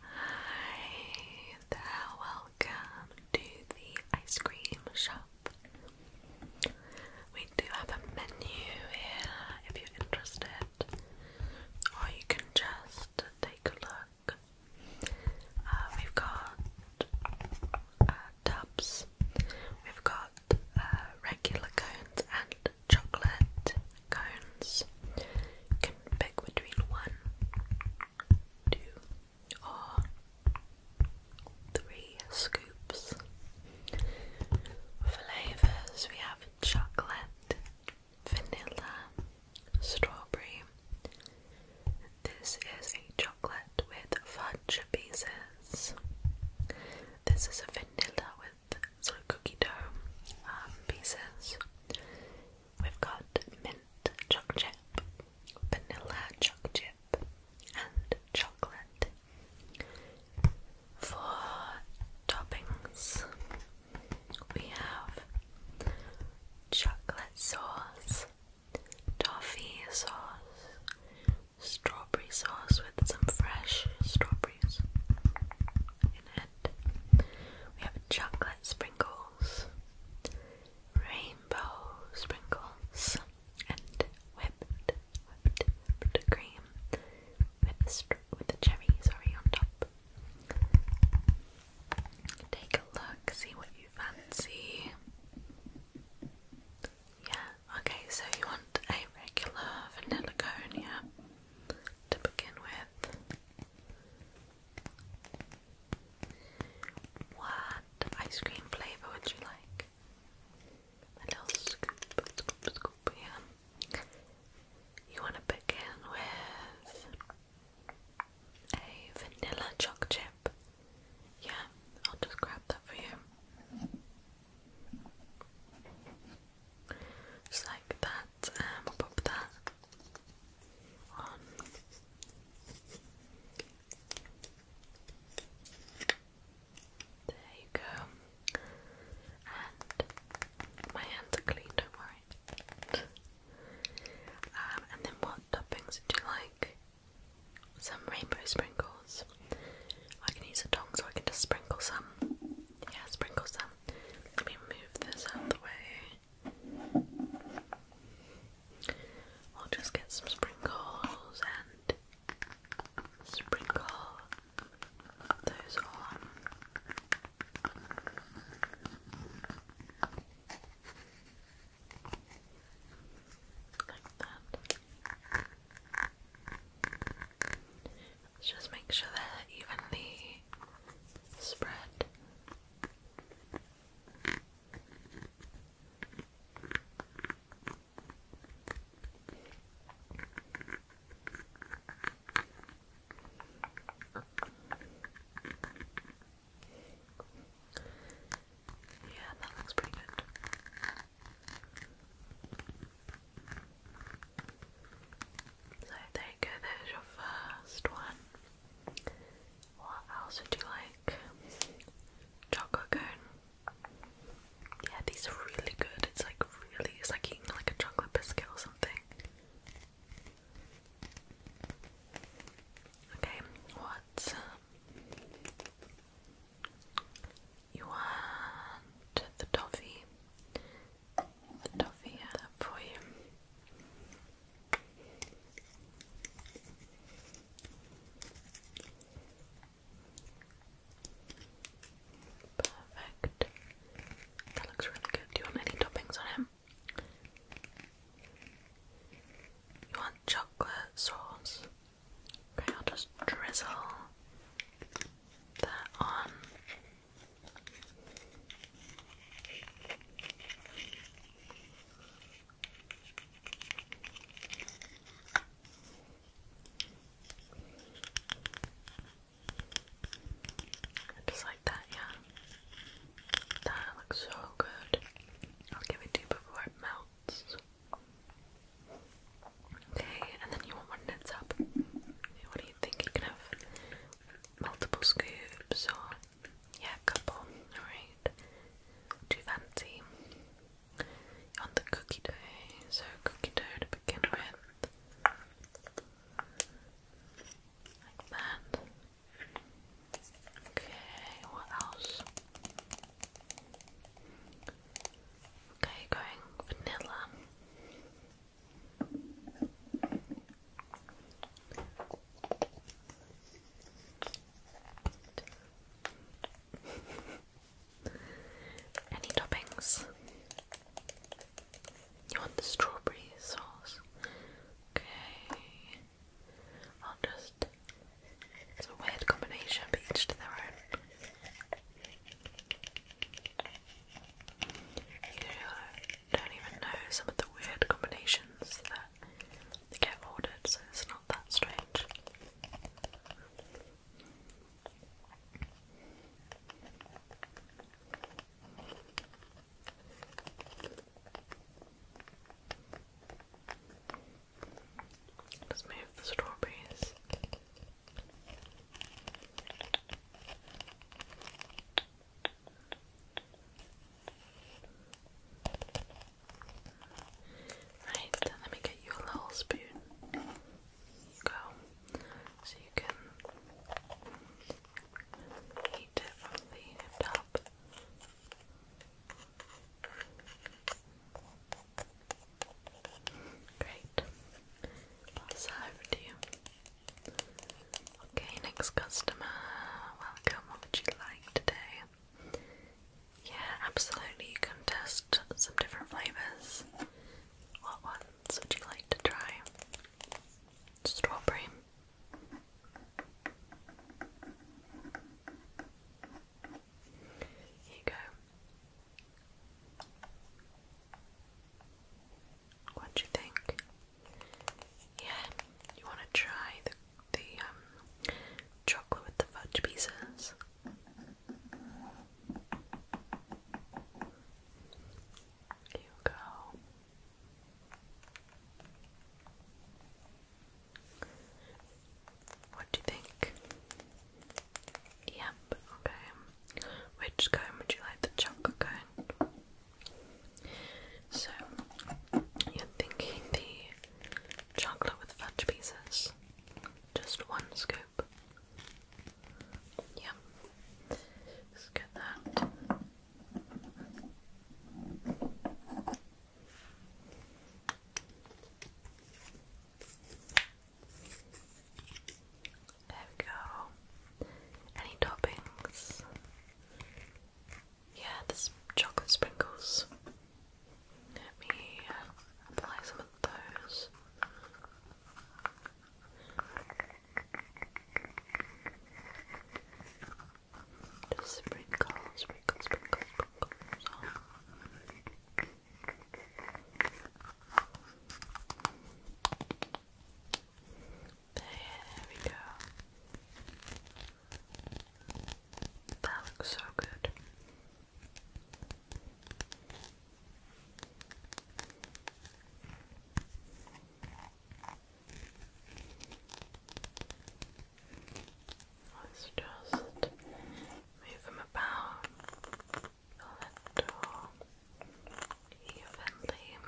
Hi there, welcome to the ice cream shop. We do have a menu here if you're interested, or you can just take a look. Uh, we've got uh, tubs, we've got uh, regular cones and chocolate, cones. can pick between one, two, or three scoops. Flavours we have chocolate, vanilla, strawberry. This is a chocolate with fudge pieces. This is a vanilla with sort of cookie dough um, pieces. We've got mint chocolate, chip, vanilla chocolate, chip, and chocolate. For toppings, we have chocolate sauce, toffee sauce, strawberry sauce with some fresh strawberries in it. We have a chocolate sprinkle sprinkles, rainbow sprinkles, and whipped, whipped, whipped cream with the, with the cherry, on top. Take a look, see what you fancy. Yeah, okay, so you want a regular vanilla cone, yeah, to begin with. What ice cream flavor would you like? A little scoop, scoop, scoop, yeah. You want to begin with a vanilla choc chip? Yeah, I'll just grab that for you. Just like that that. will pop that There you go. And my hands are clean, don't worry. Um, and then what toppings would you like? Some rainbow sprinkles. I can use a tong so I can just sprinkle some. Yeah, sprinkle some. Let me move this out of the way. I'll just get some sprinkles and sprinkle those on. Like that. Let's just make sure they're evenly spread. Yeah, that looks pretty good. So there you there's your first one. What else would you like? Chocolate cone. Yeah, these are really good. It's like really, it's like eating like a chocolate biscuit or something. Okay, what? Um, you want the toffee? The toffee for you. Perfect. That looks really good. Do you want any toppings on him? You want chocolate sauce? Okay, I'll just drizzle that on. Just like that, yeah. That looks so good. I'll give it to you before it melts. Okay, and then you want one that's up. What do you think? You can have multiple scoops or yeah, couple. Alright. Too fancy. on the cookie so cookie dough to begin with. Like that. Okay, what else? Okay, going vanilla. Any toppings? You want the strawberry sauce? Okay. I'll just. It's a weird combination, but each to their own. You don't even know some of the weird combinations that get ordered, so it's not that strange. Let's move the strawberries. Right, let me get you a little spoon. you go. So you can eat it from the top. Great. I'll serve to you. Okay, next customer. Welcome. What would you like today? Yeah, absolutely. You can test some different flavours. What ones would you like to try? Strawberry. Here you go. What do you think? Yeah, you want to try the the um, chocolate with the fudge pieces. you go. What do you think? Yep, okay. Which cone would you like? The chocolate cone so, you're thinking the chocolate with fudge pieces, just one scoop. Yep, let that. There we go. Any toppings? Yeah, there's chocolate sprinkles. Let me uh, apply some of those. Just sprinkle, sprinkle, sprinkle, sprinkle. There we go. That looks so good. Let's just move them about a little evenly.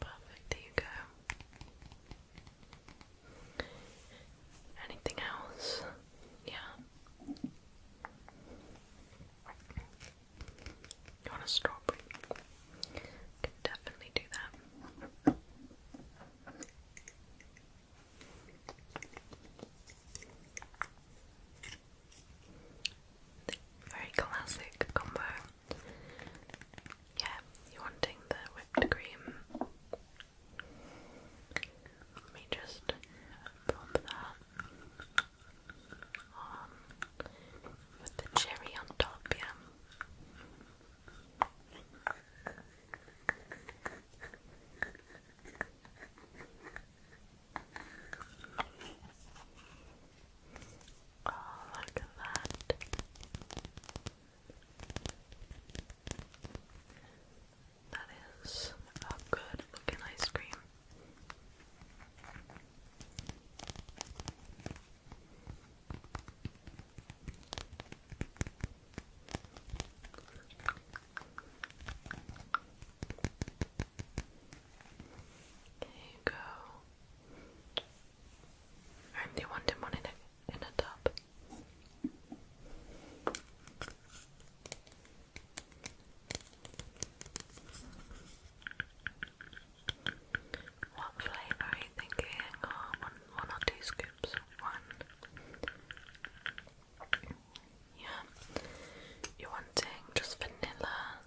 Perfect, there you go. Anything else? Yeah. You want a strawberry? Can definitely do that. Very classic combo. Yeah, you wanting the whipped cream. Let me just pop that on with the cherry on top, yeah. Oh, look at that. That is a good looking ice cream. There go. And they wanted one in a, in a tub. What flavour are you thinking? Oh, one, one or two scoops? One. Yeah. You're wanting just vanilla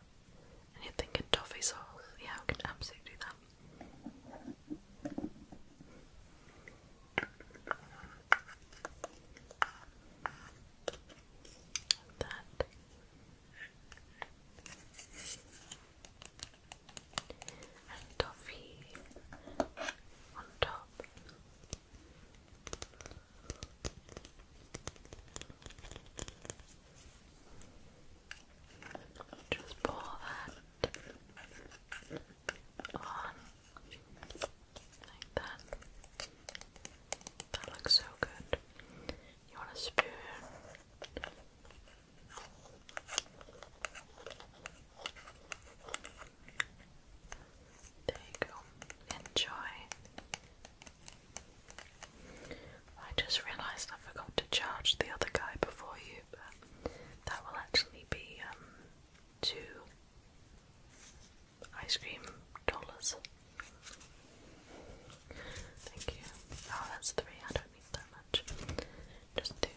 and you're thinking toffee sauce. Yeah, we can absolutely do that. that. And toffee on top. Just pour that on like that. That looks so good. You want a spoon? There you go. Enjoy. I just realised I forgot to charge the other guy before you, that will actually be um, two ice cream dollars. Thank you. Oh, that's three. I don't need that much. Just two.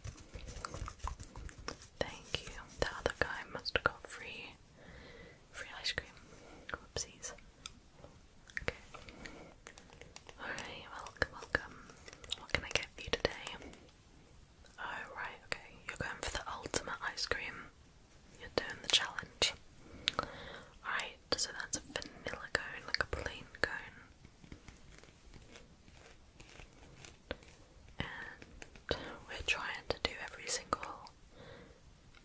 Thank you. The other guy must have free Free ice cream. Whoopsies. Okay. Alright, welcome, welcome. What can I get for you today? Oh, right, okay. You're going for the ultimate ice cream. You're doing the challenge. Alright, so that's a vanilla cone, like a plain cone. And we're trying to do every single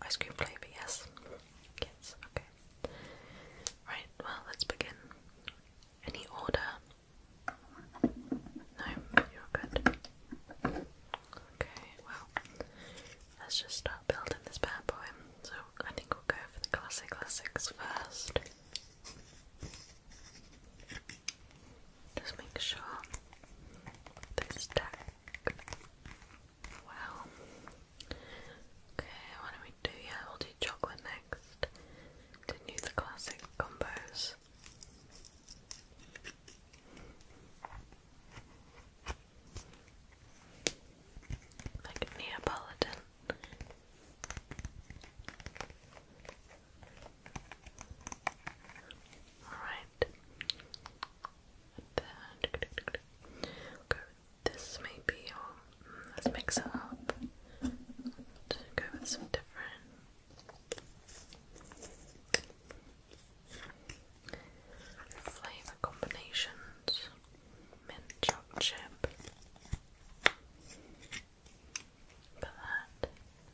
ice cream flavour, yes. Yes, okay. Right, well, let's begin. Any order? No, you're good. Okay, well, let's just start building this bad boy. So I think we'll go for the classic classics first. Just make sure this stack Wow. Okay, why do we do yeah, we'll do chocolate next. Continue the classic combos. Like Neapolitan. Alright that. this maybe, or mm, let's mix it up. go with some different flavour combinations. Mint chocolate chip. that. I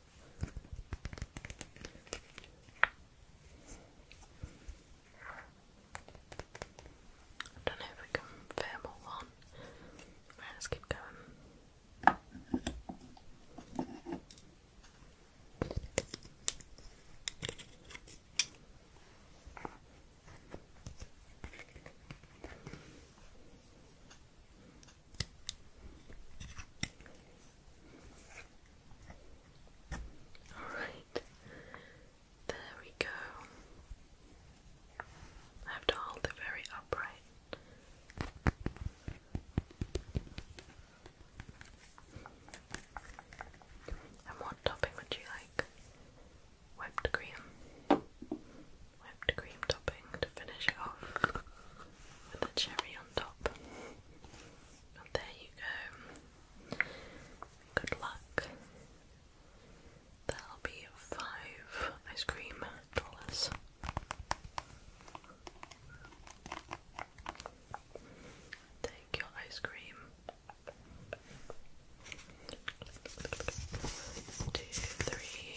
don't know if we can let's keep going. Alright, there we go. have to hold it very upright. And what topping would you like? Whipped cream. Whipped cream topping to finish it off with a cherry on top there you go. Good luck. That'll be five ice cream dollars. Take your ice cream two, three.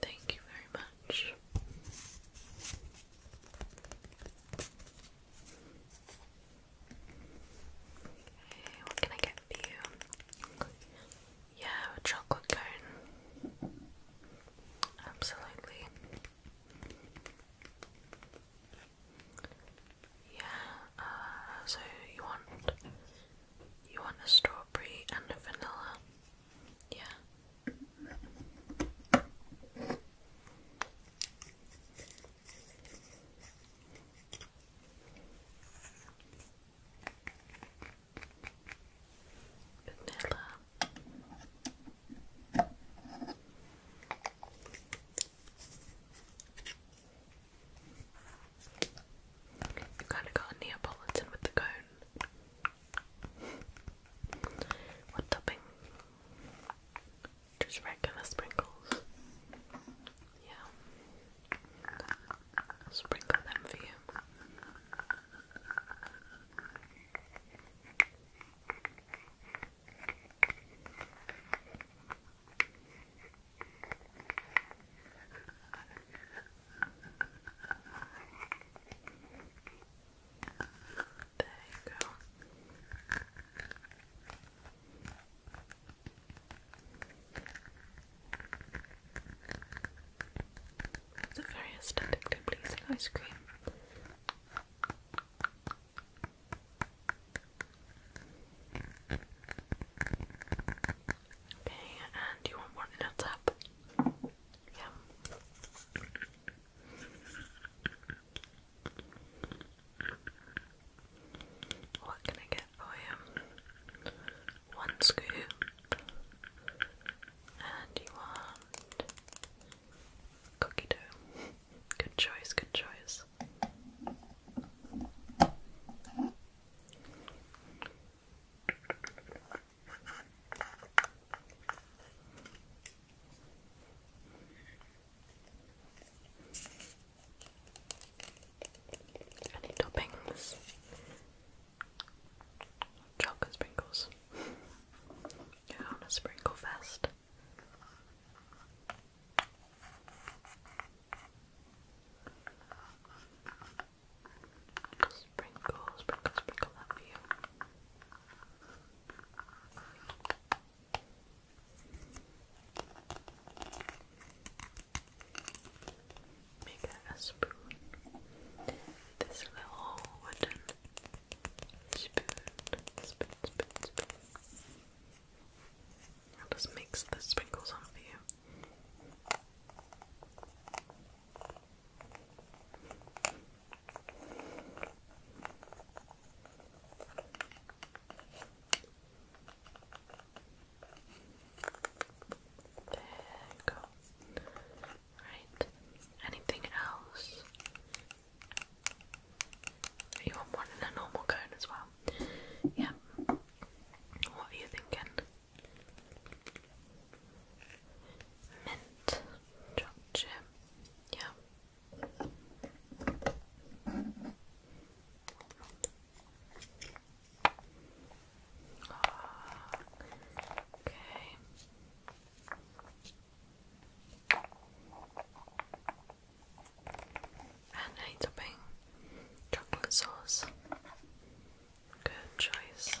Thank you very much what can I get for you? Yeah, a chocolate cone. Absolutely. Yeah, uh, so you want you want a strawberry and a vanilla. Yeah. Vanilla. kind of got Neapolitan with the cone. What topping? Just regular sprinkles. Yeah. sprinkle them for you. There you go. It's a very aesthetically pleasing ice cream. Okay, and you want one in a tub? Yeah. What can I get for you? One scoop. And you want cookie dough. Good choice, good choice. Any toppings? Chocolate sprinkles. yeah, on a sprinkle fest. Sprinkle, sprinkle, sprinkle that for you. Make a spoon. This little wooden spoon. Spoon, spoon, spoon. I'll just mix the sprinkles on for you. There you go. Right. Anything else? You want one in a normal cone as well? Yeah. What are you thinking? mint chocolate Yeah. Ah, okay. And a topping chocolate sauce. Good choice.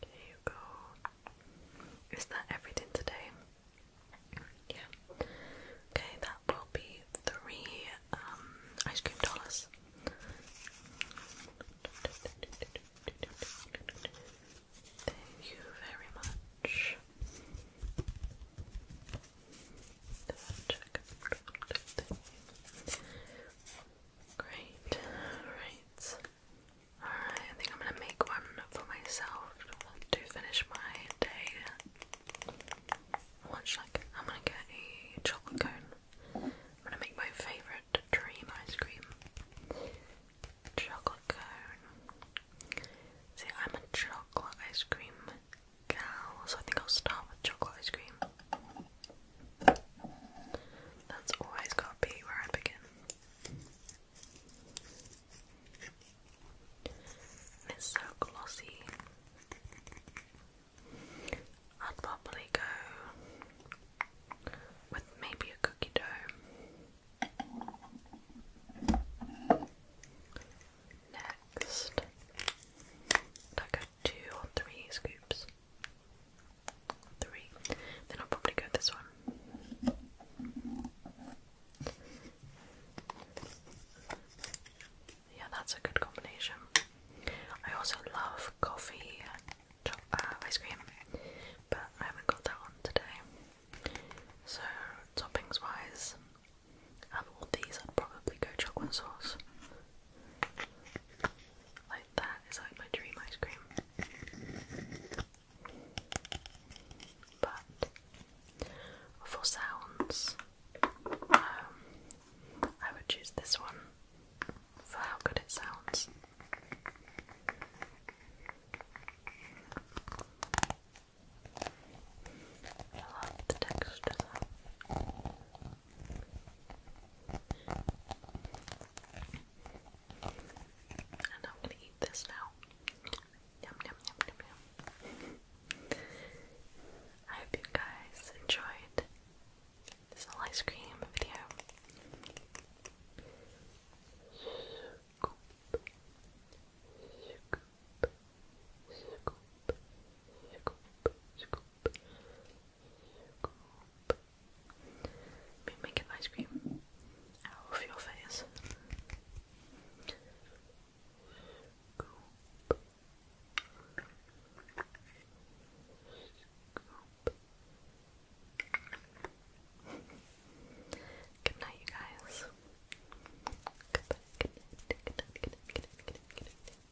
There you go. Is that everything today? Yeah. Okay, that will be three um, ice cream dollars. Thank you very much. Great. Alright. Alright, I think I'm gonna make one for myself to finish my day. Watch like I'm gonna get a chocolate cone. I'm gonna make my favourite dream ice cream. Chocolate cone. See, I'm a chocolate ice cream cow, I think I'll start with chocolate ice cream. That's always gotta be where I begin. it's so glossy. I'd probably go with maybe a cookie dough. Next, like a two or three scoops. Three. Then I'll probably go with this one. Yeah, that's a good combination. I also love coffee and uh, ice cream, but I haven't got that one today. So, toppings wise, out all these, I'd probably go chocolate sauce. Like that is like my dream ice cream. But for sounds, um, I would choose this one for how good it sounds. I love the texture. And I'm gonna eat this now. Yum yum yum yum yum. I hope you guys enjoyed this little ice cream video. Scoop. Me making ice cream out of your face. Good night, you guys. Good night.